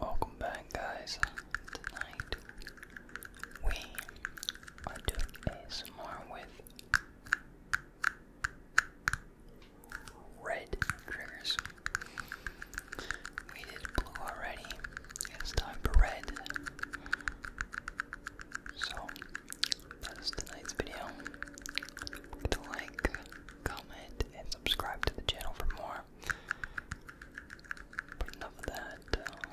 Welcome back, guys. Tonight we are doing more with red triggers. We did blue already. It's time for red. So that is tonight's video. To like, comment, and subscribe to the channel for more. But enough of that. Uh,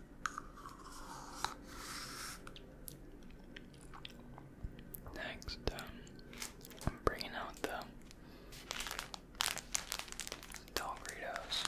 Next, um, I'm bringing out the Doritos.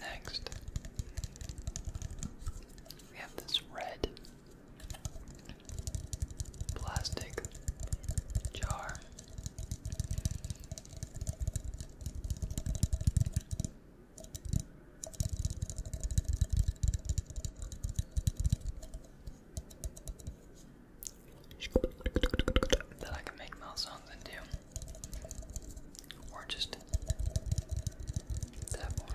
Next, we have this red plastic jar that I can make mouth sounds into, or just tap on.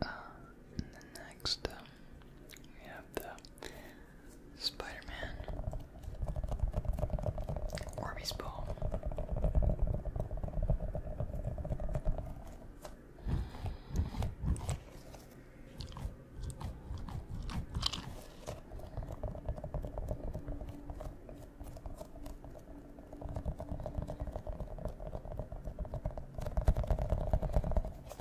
Uh, and next um, we have the Spider Man, Orbeez Ball.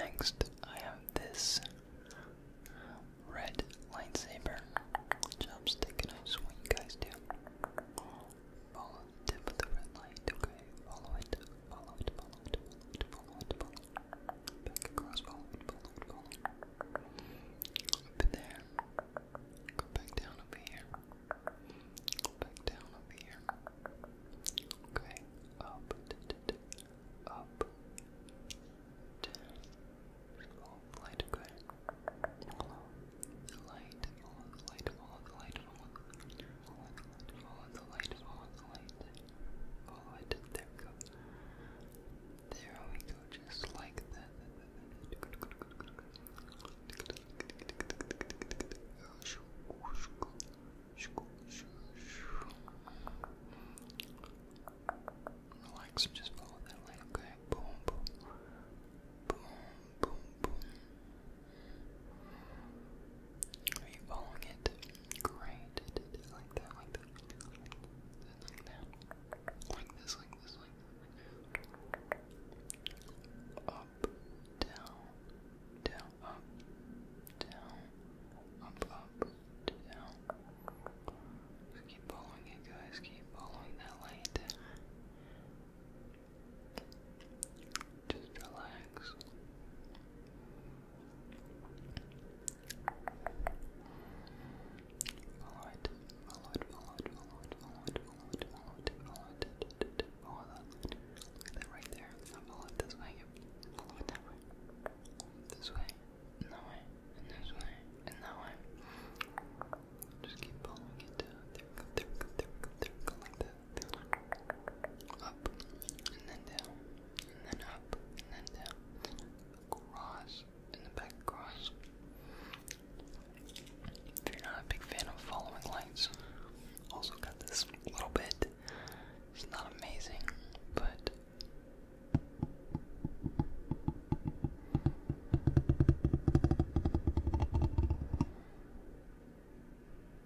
Next, I have this red lightsaber chopstick, and I you guys to tip of the red light, okay? Follow it, follow it, follow it, follow it, follow it, Back across, follow it, follow it, follow it. Up there. Go back down over here. Go back down over here. Okay, up, d up, light, okay? Follow the light, follow the light, follow the light, follow Follow the light, follow the light. Follow it. There we go. There we go, just like that. Relax, just follow that light, okay? Boom, boom. Boom, boom, boom. Are you following it? Great. Like that, like that, like that, like that, like this, like this, Up, down, down, up, down, up, up, down. keep following it, guys. Keep following that light. Just relax. Follow it, follow it, follow it, follow it, follow it, follow it, follow it, follow it, follow that line. Look at that right there. follow it this way, follow it that way, this way, that way, this way, that way. Just keep following it down. There we there there there up, and then down, and then up, and then down, across, and then back across. If you're not a big fan of following lights, also got this little bit. It's not amazing, but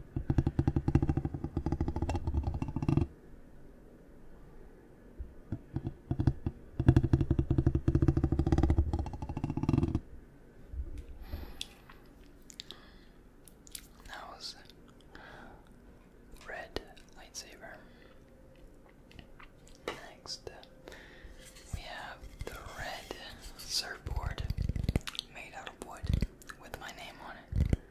That was red lightsaber. Next, we have the red surfboard made out of wood with my name on it.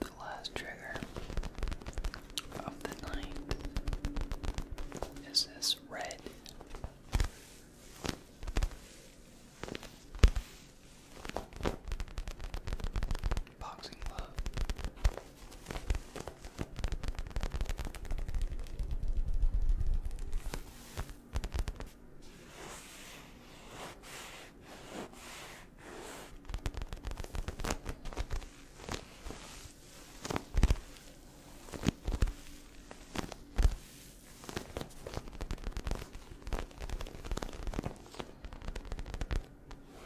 The last trigger of the night is this red. Boxing glove.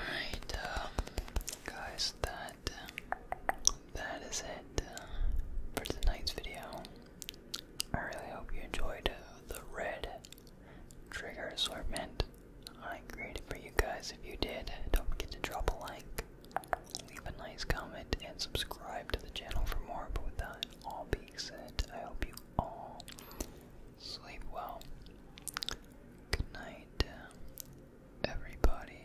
Alright, um, guys, that um, that is it uh, for tonight's video. I really hope you enjoyed uh, the red trigger assortment I created for you guys. If you did, don't forget to drop a like, leave a nice comment, and subscribe to the channel for more. But with that all being said, I hope you all sleep well. Good night, uh, everybody.